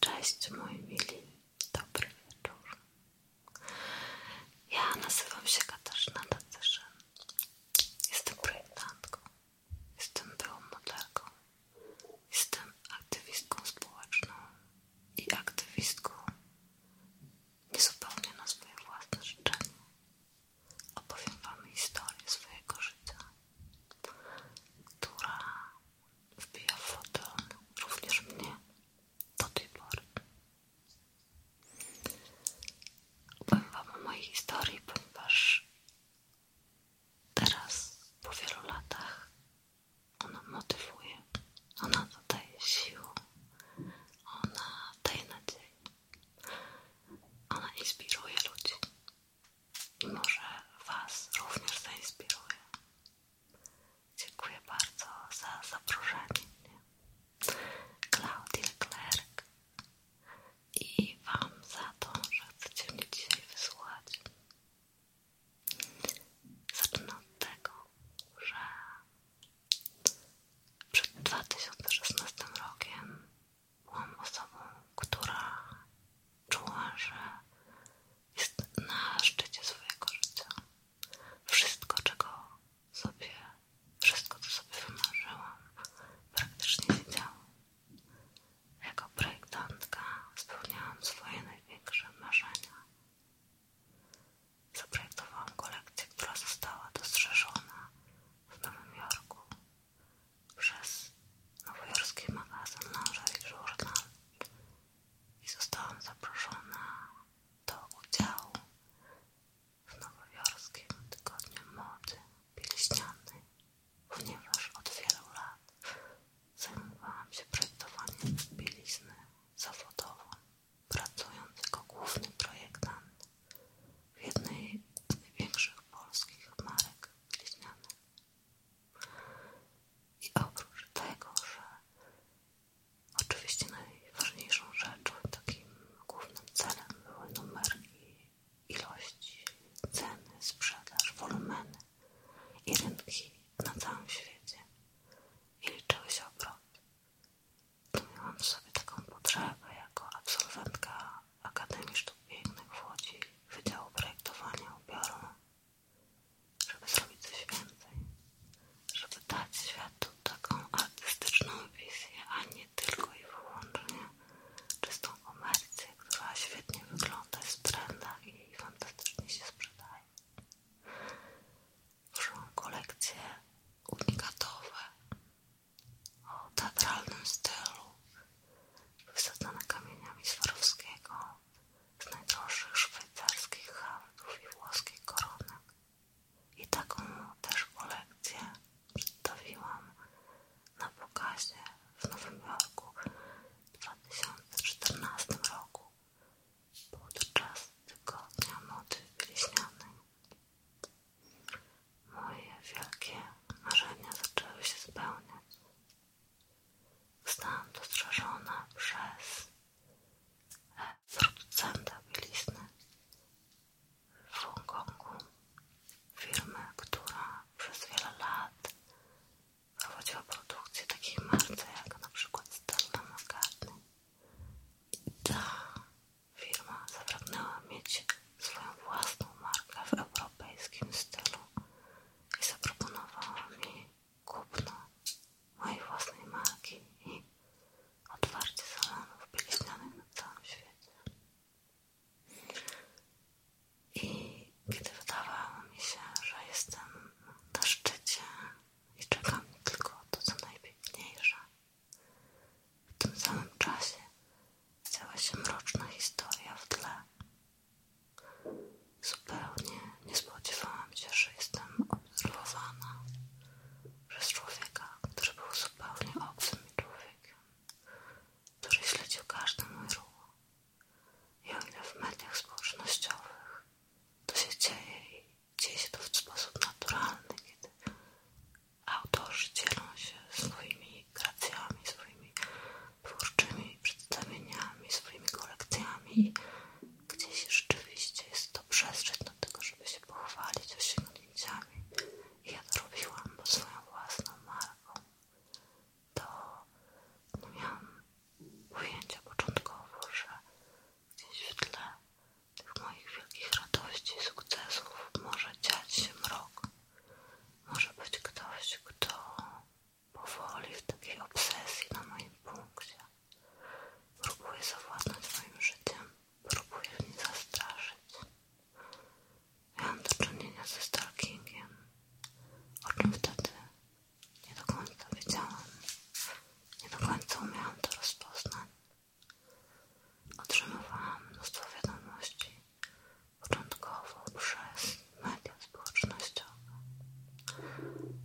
Cześć moi mili, dobry wieczór. Ja nazywam się Katarzyna Tacyszyn. Jestem projektantką, jestem byłą modelką, jestem aktywistką społeczną i aktywistką niezupełnie na swoje własne życzenie. Opowiem Wam historię swojego życia, która wbija foton również mnie do tej pory. Powiem Wam o mojej historii, ponieważ teraz po wielu latach ona motywuje, ona daje siłę, ona daje nadzieję, ona inspiruje ludzi i Może Was również zainspiruje. Dziękuję bardzo za zaproszenie mnie. Klaudia Klerk i Wam za to, że chcecie mnie dzisiaj wysłuchać. Zacznę od tego, że przed 2016 rokiem byłam osobą, która czuła, że jest na szczycie swojego życia. Wszystko, czego sobie, wszystko, co sobie wymarzyłam, praktycznie się działo. Jako projektantka spełniałam swoje największe marzenia. Zaprojektowałam kolekcję, która została dostrzeżona w Nowym Jorku przez nowojorski magazyn Lingerie Journal i zostałam zaproszona do udziału w nowojorskim tygodniu mody pieśnianej, ponieważ od wielu lat zajmowałam się projektowaniem bielizny zawodowo, pracując jako główny projektant w jednej z największych polskich marek bieliźnianych. I oprócz tego, że oczywiście najważniejszą rzeczą, takim głównym celem były numerki, ilości, ceny, sprzedaż, wolumeny i rynki na całym świecie. I liczyły się obroty. To miałam w sobie taką potrzebę jako absolwentka Akademii Sztuk Pięknych w Łodzi Wydziału Projektowania Ubioru żeby zrobić coś więcej, żeby dać światu taką artystyczną wizję, a nie tylko i wyłącznie czystą komercję, która świetnie wygląda, jest trenna i fantastycznie się sprzedaje. Tworzą kolekcje unikatowe o teatralnym stylu wysadzone kamieniami Swarowskiego z najdroższych szwajcarskich handlów i włoskich koronek. I taką też kolekcję przedstawiłam na pokazie w Nowym Jorku w 2014 roku podczas Tygodnia Mody Wieśnianej. Moje wielkie marzenia zaczęły się spełniać Zostałam dostrzeżona przez producenta bielizny w Hongkongu, firmy, która przez wiele lat prowadziła produkcję takiej marce jak na przykład Stella McCartney. I ta firma zapragnęła mieć swoją własną markę w europejskim stylu i zaproponowała mi kupno mojej własnej marki i otwarcie salonów bieliźnianych na całym świecie. I kiedy wydawało mi się, że jestem na szczycie i czeka czekam tylko to, co najpiękniejsze, w tym samym czasie działa się mroczna historia w tle Zupełnie nie spodziewałam się, że jestem obserwowana przez człowieka, który był zupełnie obcym mi człowiekiem, który śledził każdy mój ruch. I o ile w mediach społecznościowych to się dzieje dzieje się to w sposób naturalny, kiedy autorzy dzielą się swoimi kreacjami, swoimi twórczymi przedstawieniami, swoimi kolekcjami, gdzieś rzeczywiście jest to przestrzeń do tego, żeby się pochwalić osiągnięciami. I ja to robiłam, bo swoją własną marką to no miałam ujęcia początkowo, że gdzieś w tle tych moich wielkich radości i sukcesów może dziać się mrok. Może być ktoś, kto Powoli, w takiej obsesji na moim punkcie. Próbuję zawładnąć moim życiem. Próbuję w niej zastraszyć. Miałam do czynienia ze stalkingiem, o czym wtedy nie do końca wiedziałam. Nie do końca umiałam to rozpoznać. Otrzymywałam mnóstwo wiadomości początkowo przez media społecznościowe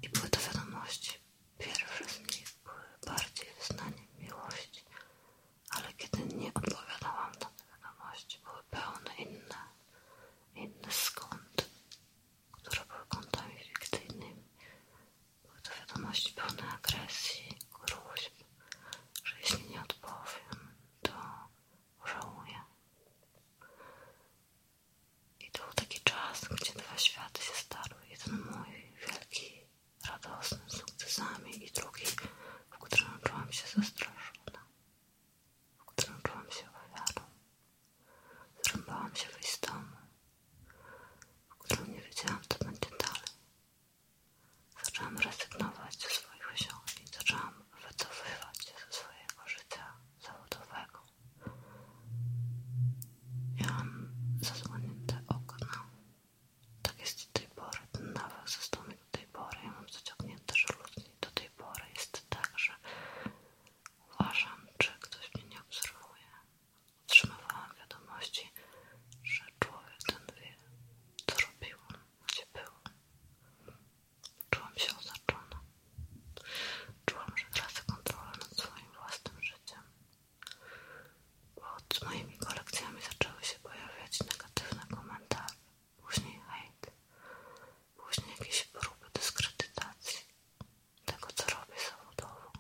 i były to wiadomości. Pierwsze z nich były bardziej wyznaniem miłości, ale kiedy nie odpowiadałam na te wiadomości, były pełne inne, inne skąd, które były kontami fikcyjnymi. Były to wiadomości pełne agresji, gruźb, że jeśli nie odpowiem, to żałuję. I to był taki czas, gdzie dwa światy się starły. Jeden mój wielki, radosny, z sukcesami i drugi, w którym czułam się zastraszona, w którym czułam się ofiarą. Zrąbałam się wyjść z domu, w którym nie wiedziałam, co będzie dalej. Zaczęłam rezygnować ze swoich osiągnięć, zaczęłam wycofywać się ze swojego życia zawodowego. Miałam zasłonięte okno. Tak jest do tej pory. Ten nawyk został mi do tej pory. Ja mam zaciągnięte żaluzje. Do tej pory jest tak, że uważam, czy ktoś mnie nie obserwuje. Otrzymywałam wiadomości, że człowiek ten wie, co robił, gdzie byłam. Czułam się osaczona. Czułam, że tracę kontrolę nad swoim własnym życiem. Pod moimi kolekcjami zaczęły się pojawiać negatywne komentarze, później hejt, później jakieś próby dyskredytacji tego, co robię zawodowo.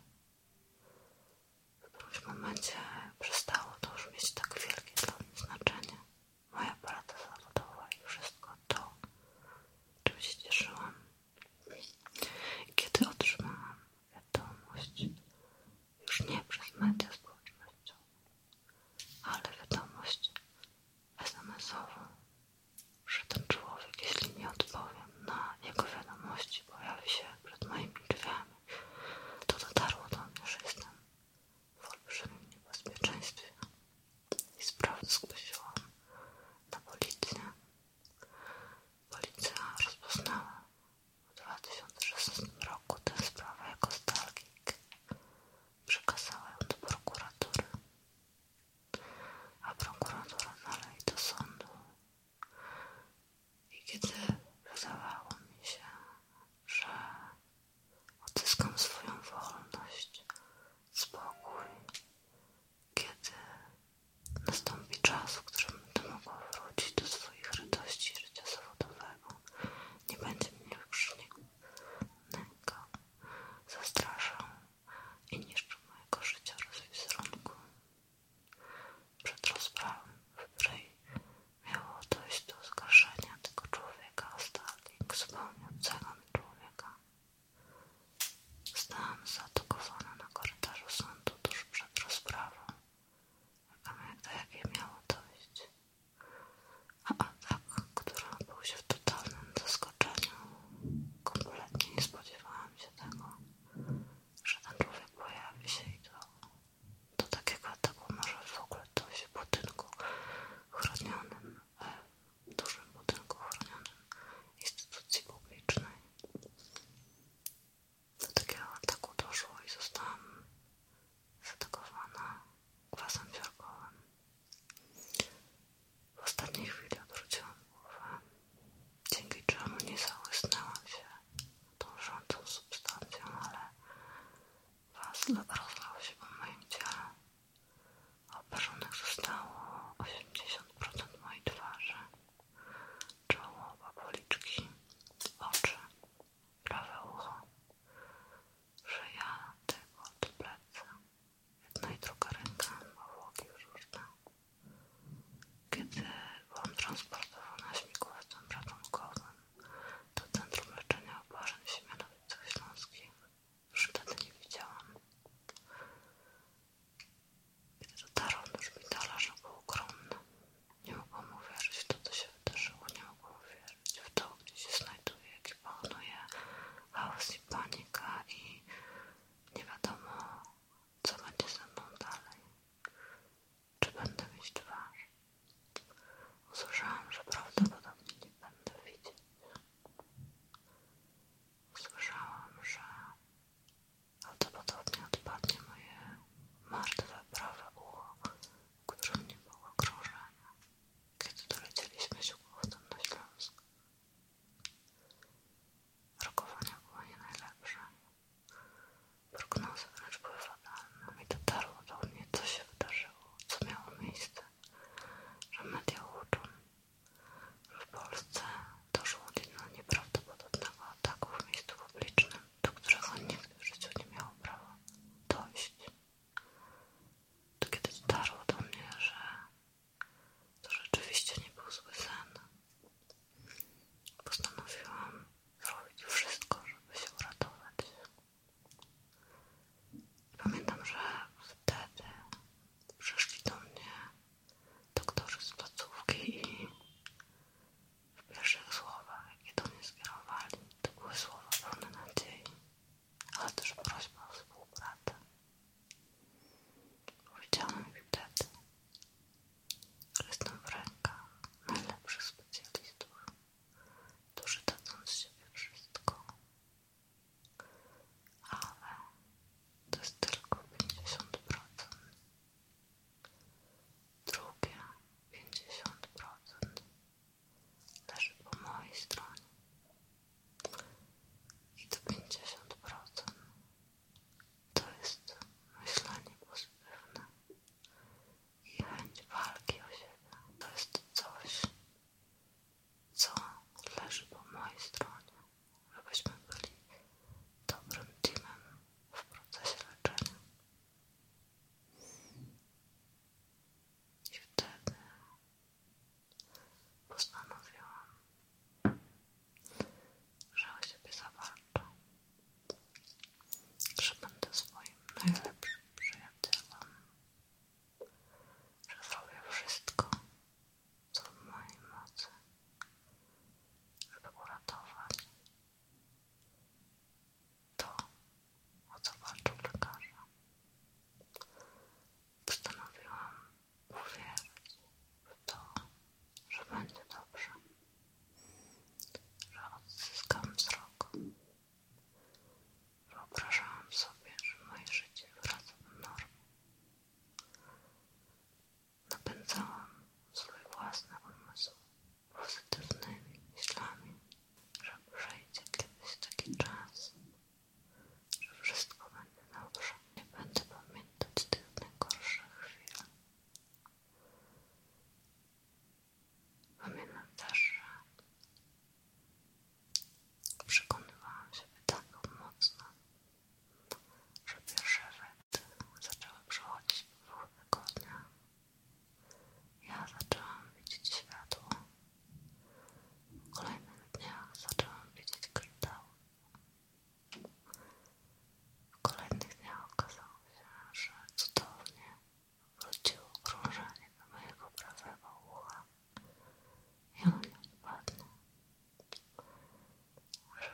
W którymś momencie przestało to już mieć tak wielkie dla mnie znaczenie moja praca zawodowa i wszystko to, czym się cieszyłam. kiedy otrzymałam wiadomość, już nie przez media społecznościowe, ale wiadomość SMS-ową, że ten człowiek, jeśli nie odpowiem na jego wiadomości, pojawi się przed moimi drzwiami, to dotarło do mnie, że jestem w olbrzymim niebezpieczeństwie i sprawę zgłosiłam na policję. Policja rozpoznała w 2016 roku tę sprawę jako stalking. Przekazała ją do prokuratury, a prokuratura dalej do sądu. I kiedy wydawało mi się, że Odzyskam swoją wolność, spokój, kiedy nastąpi czas, w którym będę mogła wrócić do swoich radości życia zawodowego. Nie będzie mnie krzyku, nęka, zastraszał i niszczył mojego życia oraz wizerunku. Przed rozprawą, w której miało dojść do oskarżenia tego człowieka, Starling wspomniał cegam człowieka. Stałam zaatakowana na korytarzu sądu tuż przed rozprawą. Czekam jak do jakiej miało dojść. A atak, który odbył się w totalnym zaskoczeniu. Kompletnie nie spodziewałam się tego, że ten człowiek pojawi się i to do takiego ataku może w ogóle dojść w budynku chronionym e, dużym budynku chronionym instytucji publicznej. Do takiego ataku doszło i zostałam zaatakowana kwasem siarkowym. W ostatniej chwili odwróciłam głowę, dzięki czemu nie załysnęłam się tą rządzącą substancją, ale was rozlał się po moim ciele Oparzonych zostało 80% mojej twarzy, czoło, policzki, oczy, prawe ucho, szyja, od plecy, jedna i druga ręka, powłoki różne. Kiedy byłam transportowana śmigłowcem ratunkowym do Centrum Leczenia Oparzeń w Śmielowicach Śląskich, już wtedy nie widziałam. Kiedy dotarłam do szpitala, że był ogromny. Nie mogłam uwierzyć w to, co się wydarzyło. Nie mogłam uwierzyć w to, gdzie się znajduje, jaki panuje chaos i panika i nie wiadomo, co będzie ze mną dalej. Czy będę mieć twarz? Usłyszałam, że prawdopodobnie nie będę widzieć. Słyszałam, że prawdopodobnie odpadnie moje martwe prawe ucho, w którym było krążenia, kiedy dolecieliśmy się powrotem na Śląsk. Rokowania było nie najlepsze. Prognozy wręcz były fatalne i dotarło do mnie, co się wydarzyło, co miało miejsce że media uczą, że w Polsce doszło do nieprawdopodobnego ataku w miejscu publicznym, do którego nikt w życiu nie miał prawa dojść. To kiedy dotarło do mnie, że to rzeczywiście nie był zły postanowiłam zrobić wszystko, żeby się uratować. Pamiętam, że wtedy przyszli do mnie doktorzy z placówki i w pierwszych słowach, jakie do mnie skierowali, to były słowa pełne nadziei, ale też prośba o współpracę. Powiedziałam im wtedy, że jestem w rękach najlepszych specjalistów, którzy dadzą z siebie wszystko, ale to jest tylko 50%. Drugie 50% leży po mojej stronie i to 50% to jest myślenie pozytywne i chęć walki o siebie. To jest coś, co leży po mojej stronie, żebyśmy byli dobrym teamem w procesie leczenia. I wtedy postanowiłam, że o siebie zawalczę, że będę swoim najlepszym przyjacielem że zrobię wszystko, co w mojej mocy, żeby uratować to, o co walczył lekarza. Postanowiłam uwierzyć w to, że będzie dobrze, że odzyskam wzrok, Wyobrażałam sobie, że moje życie wraca do normy. Napędzałam swój własny umysł pozytywnymi myślami, że przyjdzie kiedyś taki czas, że wszystko będzie dobrze. Nie będę pamiętać tych najgorszych chwil. Pamiętam też, że Przekonywałam siebie tak mocno, że pierwsze rzeczy zaczęły przychodzić pewnego dnia. Ja zaczęłam widzieć światło. W kolejnych dniach zaczęłam widzieć kryształ. W kolejnych dniach okazało się, że cudownie wróciło krążenie do mojego prawego ucha. I one wpadną, że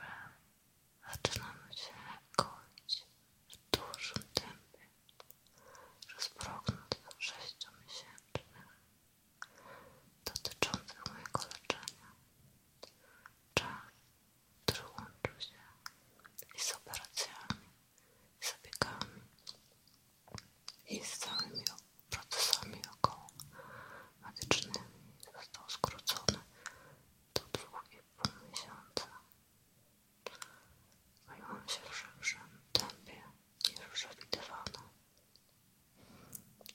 zaczynamy się koić w dużym tempie przez prognóz sześciomiesięcznych dotyczących mojego leczenia. Czas, który łączył się i z operacjami, i zabiegami, i z całymi procesami około medycznymi został skrócony do 2,5 miesiąca. Zajmowałam się w szybszym tempie niż przewidywano.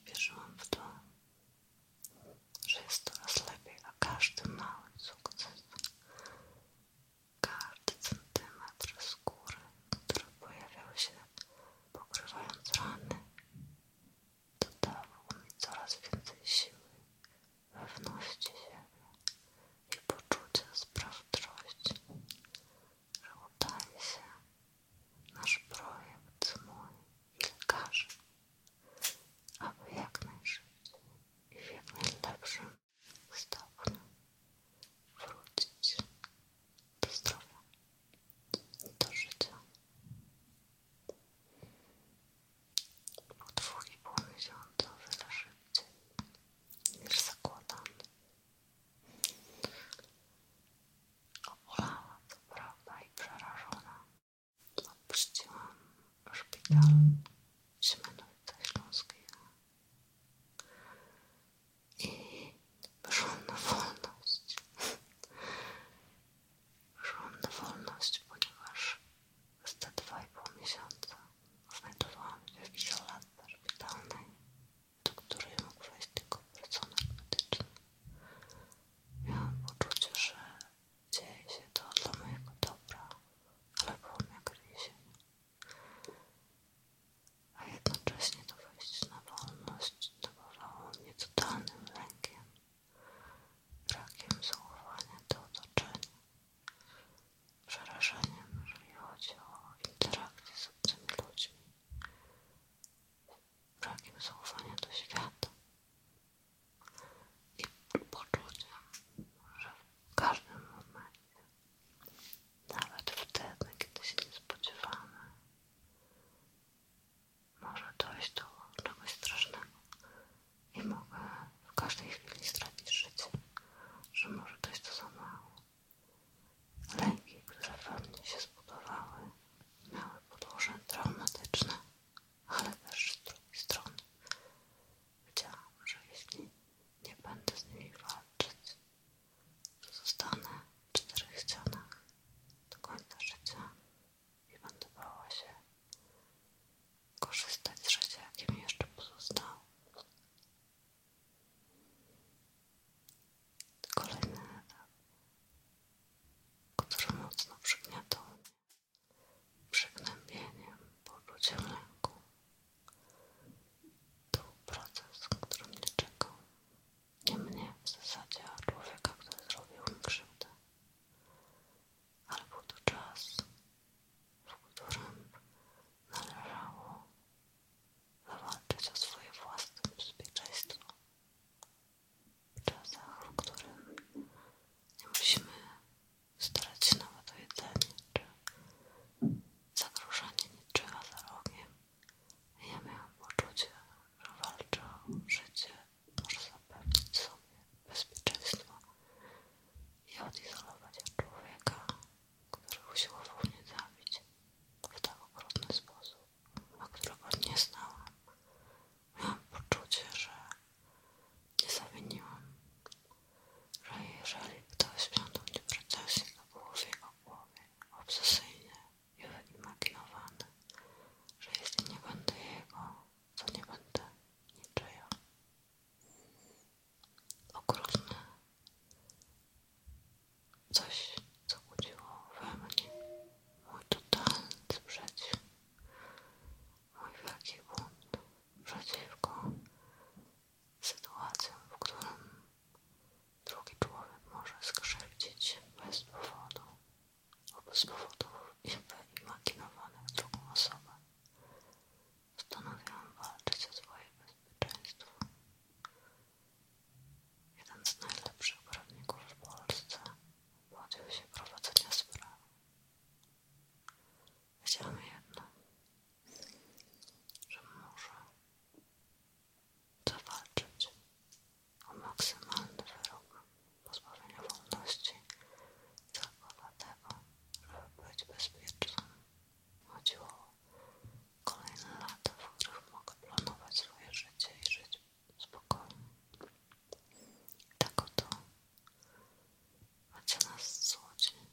Wierzyłam w to, że jest coraz lepiej, a każdy mały sukces, każdy centymetr skóry, który pojawiał się Pokrywając rany, dodawał mi coraz więcej siły, pewności siebie i poczucia sprawczości, że udaje się nasz projekt mój i lekarzy, aby jak najszybciej i w jak najlepszym stopniu wrócić do zdrowia, do życia. Po dwóch i pół miesiąca wiele szybciej niż zakładam. Obolała co prawda i przerażona. Opuściłam szpital się mhm. Siemianowice Śląskiego i wyszłam na wolność. Wyszłam na wolność, ponieważ przez te dwa i pół miesiąca znajdowałam się w izolacji szpitalnej, do której mógł wejść tylko personel medyczny. Miałam poczucie, że dzieje się to dla mojego dobra, ale było mi jak więzienie a jednocześnie to wejście na wolność napawało mnie totalnym lękiem, brakiem zaufania do otoczenia, przerażeniem, jeżeli chodzi o interakcję z obcymi ludźmi, brakiem zaufania do świata i poczuciem, że w każdym momencie nawet wtedy, kiedy się nie spodziewamy, może dojść do czegoś strasznego i mogę w każdej chwili stracić życie, że może dojść do zamachu. Lęki, które we mnie się zbudowały, miały podłoże traumatyczne, ale też z drugiej strony wiedziałam, że jeśli nie będę z nimi walczyć, Zostanę w czterech ścianach do końca życia i będę bała się korzystać z życia, jakie jeszcze pozostało. Kolejny etap, który mocno przygniatał mnie przygnębieniem, poczuciem lęku. To był proces, który mnie czekał nie mnie w zasadzie, a człowieka, który zrobił mi krzywdę. Ale był to czas, w którym należało zawalczyć o swoje własne bezpieczeństwo. W w którym nie musimy starać się nawet o jedzenie czy zagrożenie niczyma za rogiem. Ja miałam poczucie, że walczę o życie, może zapewnić sobie bezpieczeństwo i odizolować człowieka, który usiłował mnie zabić w tak okrutny sposób, a którego nie znałam. Miałam poczucie, że nie zawiniłam, że jeżeli ktoś miał do mnie pretensje, to było w jego głowy, obsesyjny i wyimaginowany, że jeśli nie będę jego, to nie będę niczyja. Okrutny. Coś, co budziło we mnie mój totalny sprzeciw, mój wielki bunt przeciwko sytuacjom, w którym Drugi człowiek może skrzywdzić bez powodu lub z powodów wyimaginowanych drugą osobę. Postanowiłam walczyć o swoje bezpieczeństwo. Jeden z najlepszych prawników w Polsce podjął się prowadzenia sprawy. Wiedziałam jedno, że może zawalczyć o maksymalny wyrok pozbawienia wolności całkowitego, żeby być bezpiecznym. Chodziło o kolejne lata, w których mogę planować swoje życie i żyć spokojnie. Tak oto a co nas złodzi,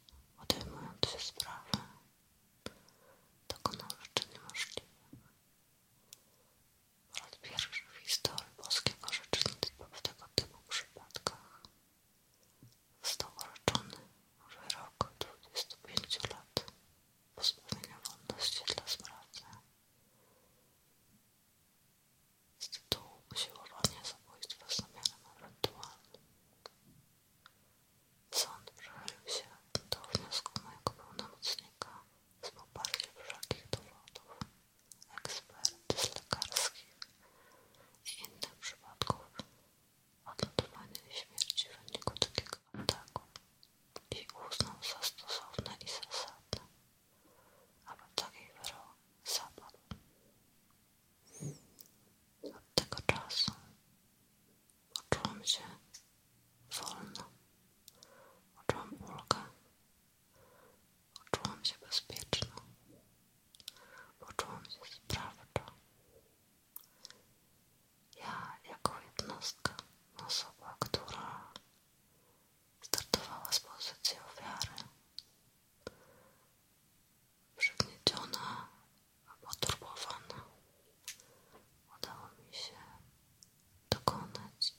odejmując się sprawy dokonał rzeczy niemożliwych. Po raz pierwszy w historii boskiego rzecznictwa w tego typu przypadkach został orzeczony wyrok 25 lat pozbawienia wolności dla sprawcy z tytułu usiłowania zabójstwa z zamiarem ewentualnym. Sąd przychylił się do wniosku mojego pełnomocnika z poparciem wszelkich dowodów, ekspertyz lekarskich i innych przypadków odnotowania śmierci w wyniku takiego ataku i uznał za stosowne i zasadne, aby taki wyrok zapadł. Od tego czasu Poczułam się wolna, poczułam ulgę, poczułam się bezpieczna, poczułam się sprawcza. Ja, jako jednostka, osoba, która startowała z pozycji ofiary, przygnieciona poturbowana. Udało mi się dokonać,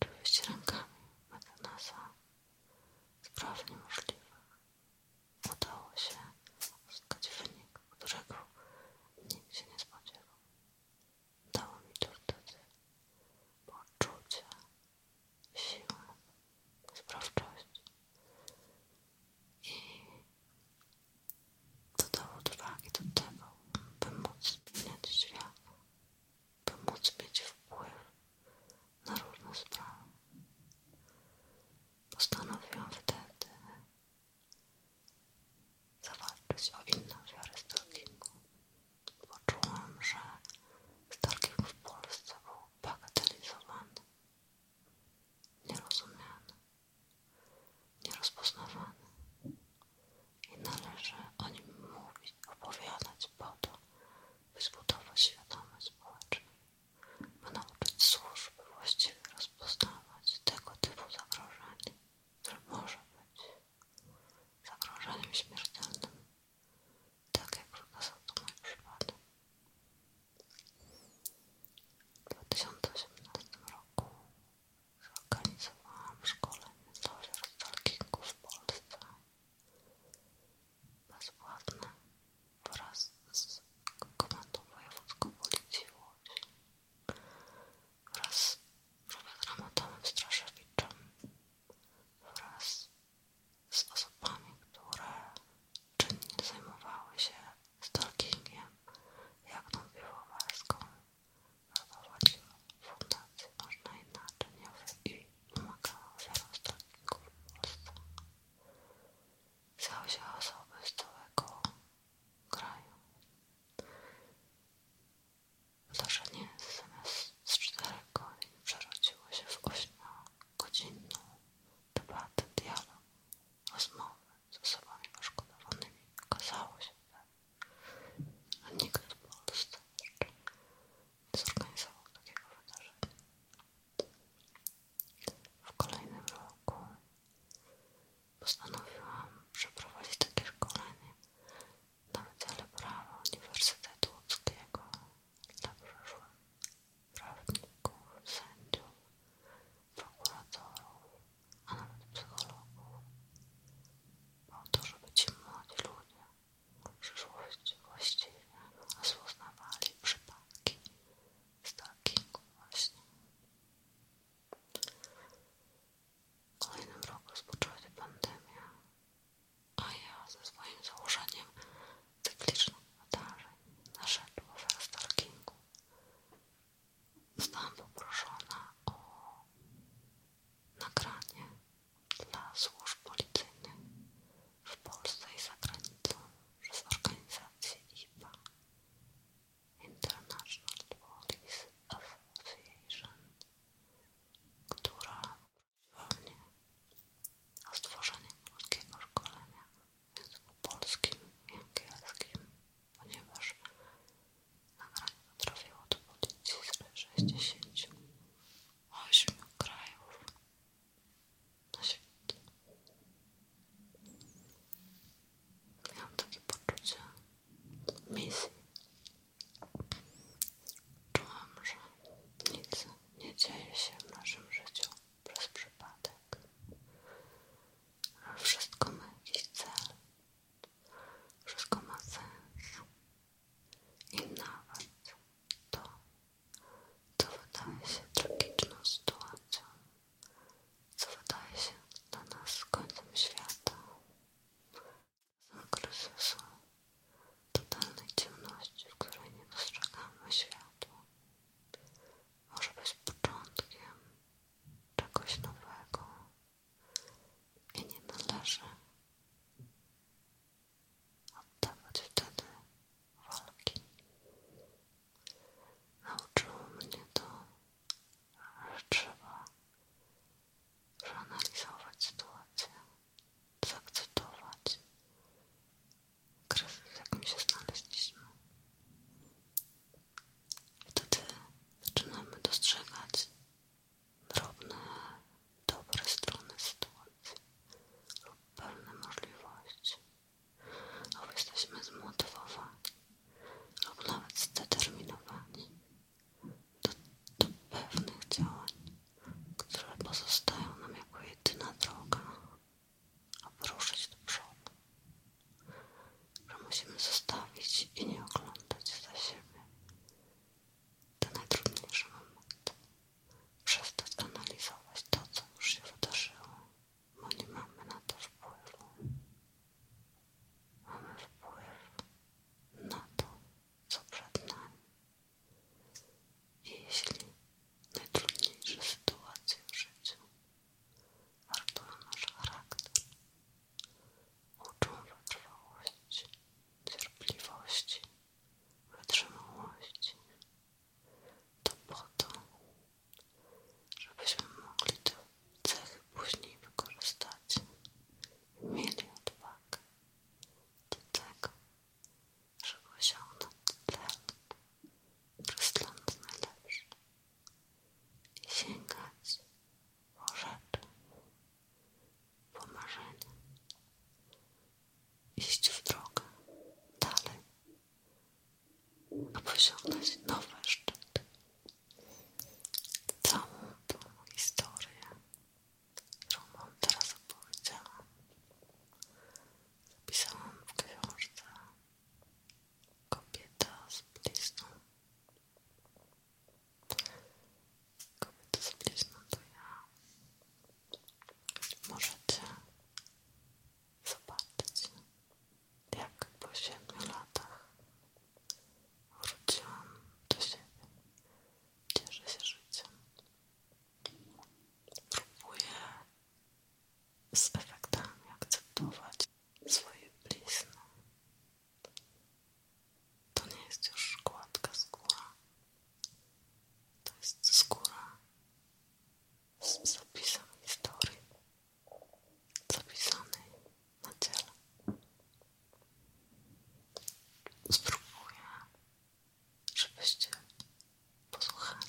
oczywiście rękami metanasa spraw niemożliwych. Udało się uzyskać wynik, którego nikt się nie spodziewał. Dało mi to wtedy poczucie, siłę, sprawczość i dodało odwagi do tego, by móc zmieniać świat, by móc mieć wpływ na różne sprawy. Postanowiłam wtedy zawalczyć o inną wiarę stalkingu. Poczułam, że stalking w Polsce był bagatelizowany, nierozumiany nierozpoznawany i należy o nim mówić, opowiadać po to, by zbudować świadomość społeczną, by nauczyć służb właściwie rozpoznawać tego typu zagrożenie, które może być zagrożeniem śmiertelnym, tak jak wykazał to mój przypadek. W 2018 roku zorganizowałam szkołę, dla stalkingów w Polsce bezpłatne wraz z Komendą Wojewódzką Policji wraz z profesorem Adamem Straszewiczem wraz z osobami, które czynnie zajmowały się stalkingiem jak mówiła Walską, prowadziła fundację Można Inaczej i pomagała wielostronnikom w Polsce. Wziął się osoby z całego kraju. Wydarzenie zamiast z czterech godzin przerodziło się w godzinną debatę, dialog, rozmowę z osobami poszkodowanymi. Okazało się, że nikt w Polsce jeszcze nie zorganizował takiego wydarzenia. W kolejnym roku postanowiłam przeprowadzić takie szkolenie na Wydziale Prawa Uniwersytetu Łódzkiego dla przyszłych prawników, sędziów, prokuratorów, a nawet psychologów, po to, żeby ci młodzi ludzie w przyszłości właściwie rozpoznawali przypadki stalkingu właśnie. W kolejnym roku rozpoczęła się pandemia, a ja ze swoim założeniem cyklicznych wydarzeń naszedł ofiar stalkingu Zostałam poproszona o nagranie dla służb policyjnych w Polsce i za granicą przez organizację IPA International Police Association, która prosiła mnie o stworzenie polskiego szkolenia języku polskim i angielskim, ponieważ nagranie potrafiło dowodzić z 68 krajów na świecie. Miałam takie poczucie misji. Czułam, że nic nie dzieje się w naszym życiu przez przypadek. Wszystko ma jakiś cel. Wszystko ma sens. I nawet to, co wydaje się tragiczną sytuacją, co wydaje się dla nas końcem świata, są kryzysu, totalnej ciemności, w której nie dostrzegamy światła, może być początkiem czegoś nowego i nie należy oddawać wtedy walki. Nauczyło mnie to, że trzeba przeanalizować sytuację, zaakceptować kryzys, w jakim się znaleźliśmy Wtedy zaczynamy dostrzegać drobne, dobre strony sytuacji lub pewne możliwości, lub jesteśmy zmotywowani, lub nawet zdeterminowani do, do pewnych działań, które pozostają nam jako jedyna droga, aby ruszyć do przodu musimy zostawić i nie oglądać za siebie. Te najtrudniejsze momenty. Przestać analizować to, co już się wydarzyło, bo nie mamy na to wpływu. Mamy wpływ na to, co przed nami. I jeśli najtrudniejsze sytuacje w życiu Wartą nasz charakter. Uczą wytrwałości, cierpliwości, wytrzymałości. To po to, żebyśmy mogli te cechy później wykorzystać. Mieli odwagę do tego, żeby osiągnąć cel, Rozgląd najlepszy. Sięgać po rzeczy, po marzenia. Iść w drogę dalej, aby osiągnąć nowy szczyt. Całą tą historię, którą wam teraz opowiedziałam, zapisałam w książce Kobieta z blizną. Kobieta z blizną to ja. Możecie zobaczyć, jak po siedmiu latach wróciłam do siebie. Cieszę się życiem. Próbuję z efektami akceptować swoje blizny. To nie jest już gładka skóra. To jest skóra z zapisem historii zapisanej na ciele. Spróbuję, żebyście posłuchali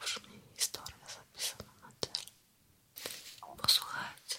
Уж мне история записана на тело. Послухайте.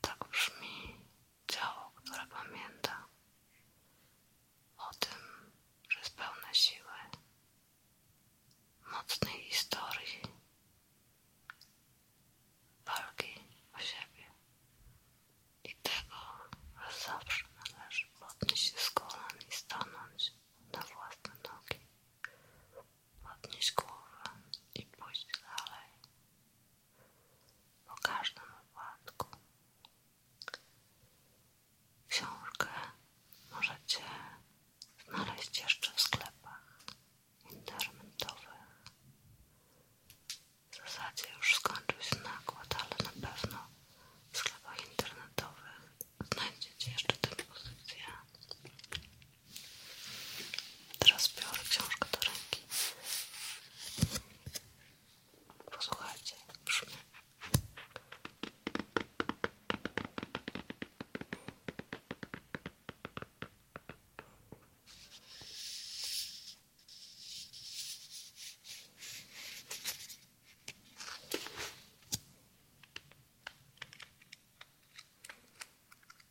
Tak brzmi ciało, które pamięta o tym, że jest pełne siły, mocnej historii, walki o siebie i tego, że zawsze należy podnieść się z kolan i stanąć na własne nogi, podnieś głowę i pójść dalej. Po każdym wypadku książkę możecie znaleźć jeszcze w sklepach internetowych. W zasadzie już skończył się nakład, ale na pewno w sklepach internetowych znajdziecie jeszcze tę pozycję. Teraz biorę książkę do ręki. Posłuchajcie, brzmi.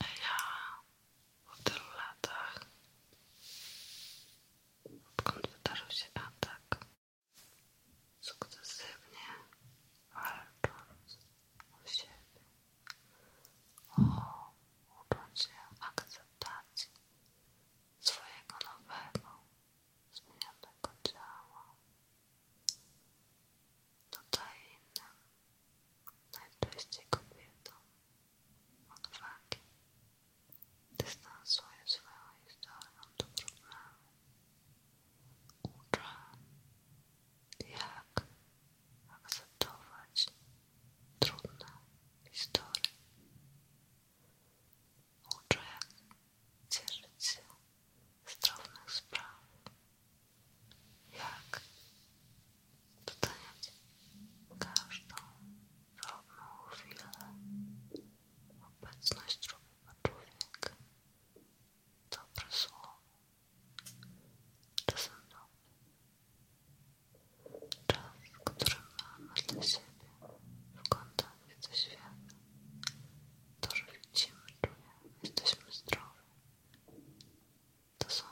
A Ja po tylu latach, odkąd wydarzył się atak, sukcesywnie walcząc o siebie, o uczucie akceptacji swojego nowego, zmienionego ciała. Tutaj innym, najczęściej kobietom, odwagi, dystansuje swoją historią do uczę, jak akceptować trudne historie. Uczę, jak cieszyć się z drobnych spraw, jak doceniać każdą drobną chwilę, obecność drugiego człowieka dobre słowo, czasem nowe, czas, który mamy dla siebie w kontakcie ze światem, to, że widzimy, czujemy, jesteśmy zdrowi, to są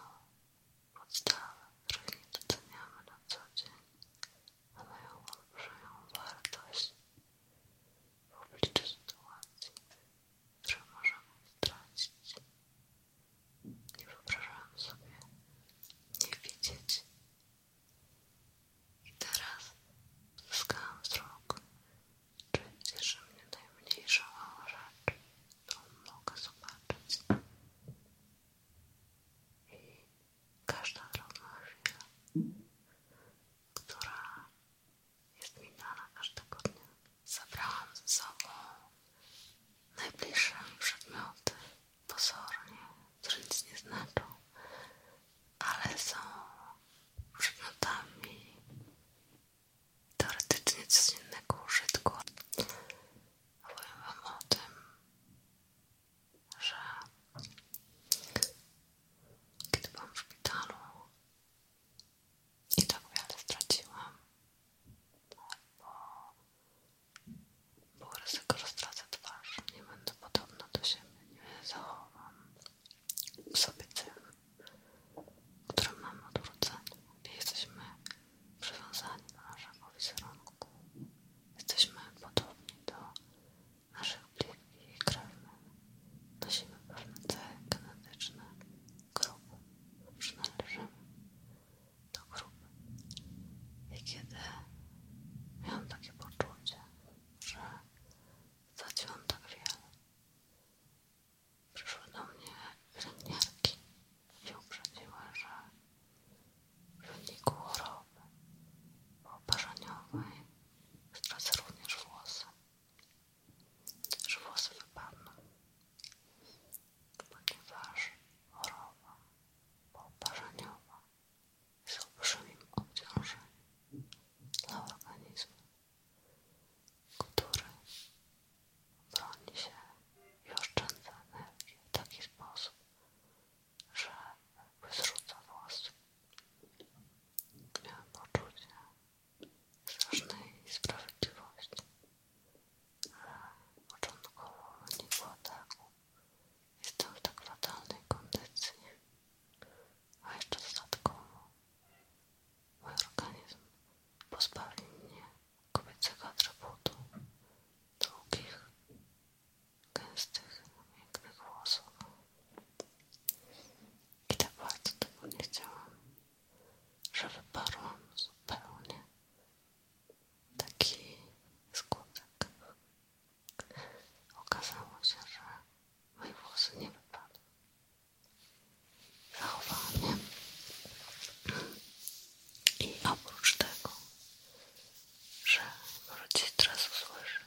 podstawy, których nie doceniamy na co dzień, ale ją olbrzymią wartość w obliczu sytuacji, którą możemy stracić. Nie wyobrażałam sobie nie widzieć. I teraz zyskałam wzrok, czyli cieszy mnie najmniejsza mała rzecz, którą mogę zobaczyć. I każda drobna która jest mi dana każdego dnia. Zabrałam ze sobą najbliższe przedmioty, pozornie, które nic nie znaczą, ale są przedmiotami teoretycznie codziennego użytku. Powiem Wam o tym, że kiedy byłam w szpitalu i tak wiele straciłam, bo było ryzyko, że stracę twarz, nie będę podobna do siebie, nie zachowam w sobie cech, które mam od urodzenia i jesteśmy przywiązani do naszego wizerunku. Jesteśmy podobni do naszych bliskich i krewnych nosimy pewne cechy genetyczne grupy, przynależymy do grupy. I kiedy miałam takie poczucie, że straciłam tak wiele, przyszły do mnie pielęgniarki i uprzedziły, że w wyniku choroby oparzaniowej stracę również włosy że włosy wypadną, ponieważ choroba pooparzeniowa jest olbrzymim obciążeniem dla organizmu, który broni się i oszczędza energię w taki sposób, że jakby zrzuca włosy Miałem poczucie strasznej sprawiedliwości, ale początkowo w wyniku ataku jestem w tak fatalnej kondycji, a jeszcze dodatkowo mój organizm pozbawi mnie kobiecego atrybutu długich, gęstych, miękkich włosów i tak bardzo tego nie chciałam, że wyparłam zupełnie taki skutek. Okazało się, że moje włosy nie wypadły. Zachowałam je. I oprócz tego, że możecie teraz usłyszeć,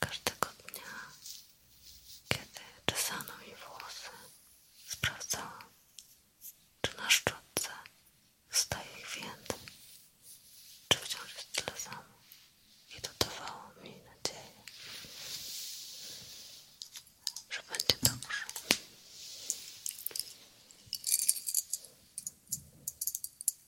każdego dnia, kiedy czesano mi włosy, sprawdzałam, czy na szczotce staje ich więcej, czy wciąż jest tyle samo i to dawało mi nadzieję, że będzie dobrze.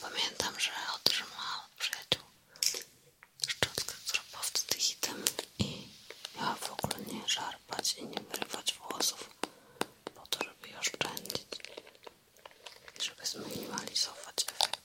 Pamiętam, że otrzymałam od przyjaciół szczotkę, która była wtedy hitem i miała w ogóle nie żarpać i nie wyrywać włosów po to, żeby je oszczędzić i żeby zminimalizować efekt.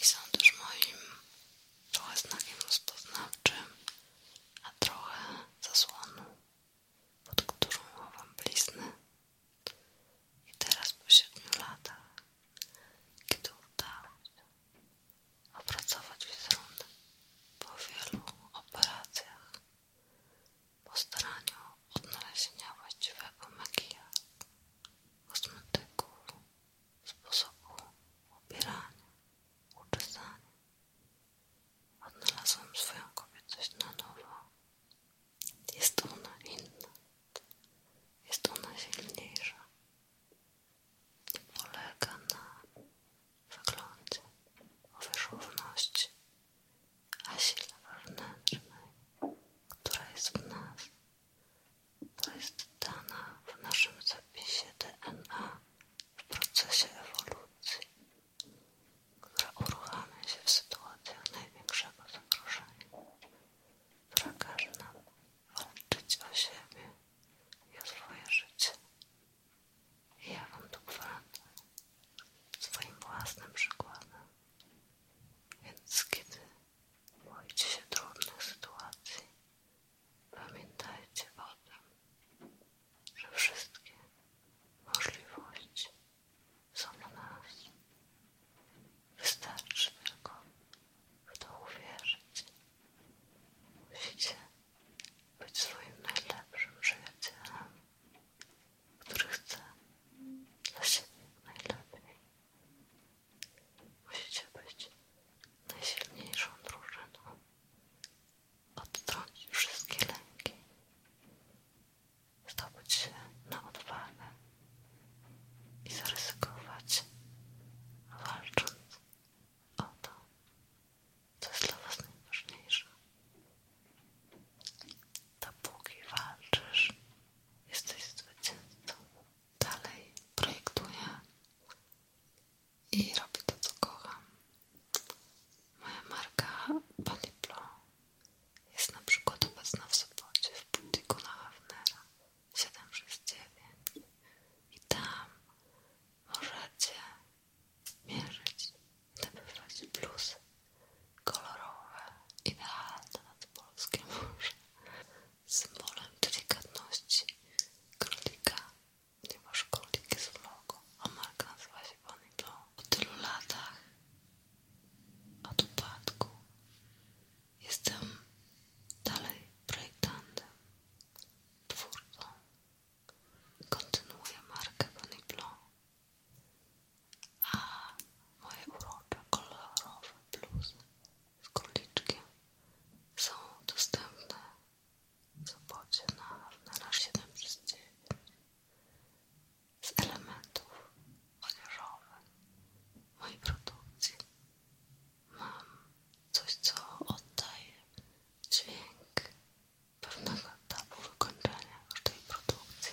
i są też moim trochę znakiem rozpoznawczym, a trochę zasłoną, pod którą chowam blizny. I teraz po siedmiu latach, kiedy udało się opracować wizerunek po wielu operacjach, po staraniu odnalezienia właściwego makijażu, kosmetyków sposobu opierania, uczesania. Odnalazłem swoją kobiecość na nowo. Jest ona inna. Jest ona silniejsza. Nie polega na wyglądzie, wierzchowności, a sile wewnętrznej, która jest w nas. To jest dana w naszym zapisie DNA w procesie ewolucji, która uruchamia się w sytuacjach największego zagrożenia. Prakaże nam walczyć o siebie i o swoje życie. I ja Wam to gwarantuję swoim własnym przykładem. Więc kiedy Boicie się trudnych sytuacji. Pamiętajcie o tym, że wszystkie możliwości są na nas. Wystarczy tylko w to uwierzyć. Musicie być swoim najlepszym przyjacielem, który chce dla siebie najlepiej. Musicie być najsilniejszą drużyną. Odtrącić wszystkie lęki. Zdobyć się na odwagę i zaryzykować, walcząc o to, co jest dla Was najważniejsze. Dopóki walczysz, jesteś zwycięzcą dalej projektuję i robię to, co kocham. Moja marka Paliplo jest na przykład obecna w Sopocie w butiku na Hafnera 769 i tam możecie mierzyć te wybrać bluzy kolorowe, idealne nad polskie morze symbolem delikatności. Królika, ponieważ królik jest logo, a marka nazywa się Bonnie Blue. Po tylu latach od upadku jestem dalej projektantem, twórcą. Kontynuuję markę Bonnie Blue, a moje urocze, kolorowe bluzy z króliczkiem są dostępne w sobocie na, na nasz 7 9 z elementów odzieżowych mojej produkcji mam coś, co oddaje dźwięk pewnego etapu wykończenia każdej produkcji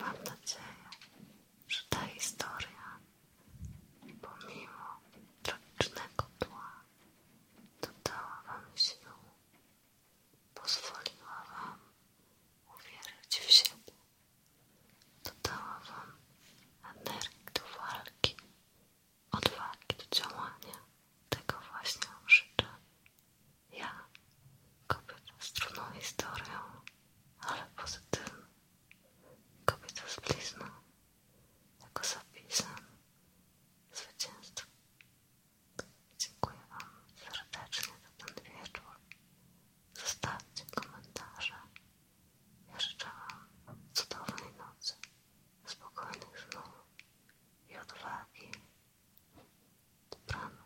Mam nadzieję, że ta historia, pomimo tragicznego tła, dodała Wam sił, pozwoliła Wam uwierzyć w siebie, dodała Wam energii do walki, odwagi do działania. Tego właśnie Wam życzę. Ja, kobieta z trudną historią, ale pozytywną. Kobieta z blizną, jako zapisem zwycięstwa. Dziękuję Wam serdecznie za ten wieczór. Zostawcie komentarze. Ja życzę Wam cudownej nocy, spokojnych snów i odwagi. Dobranoc.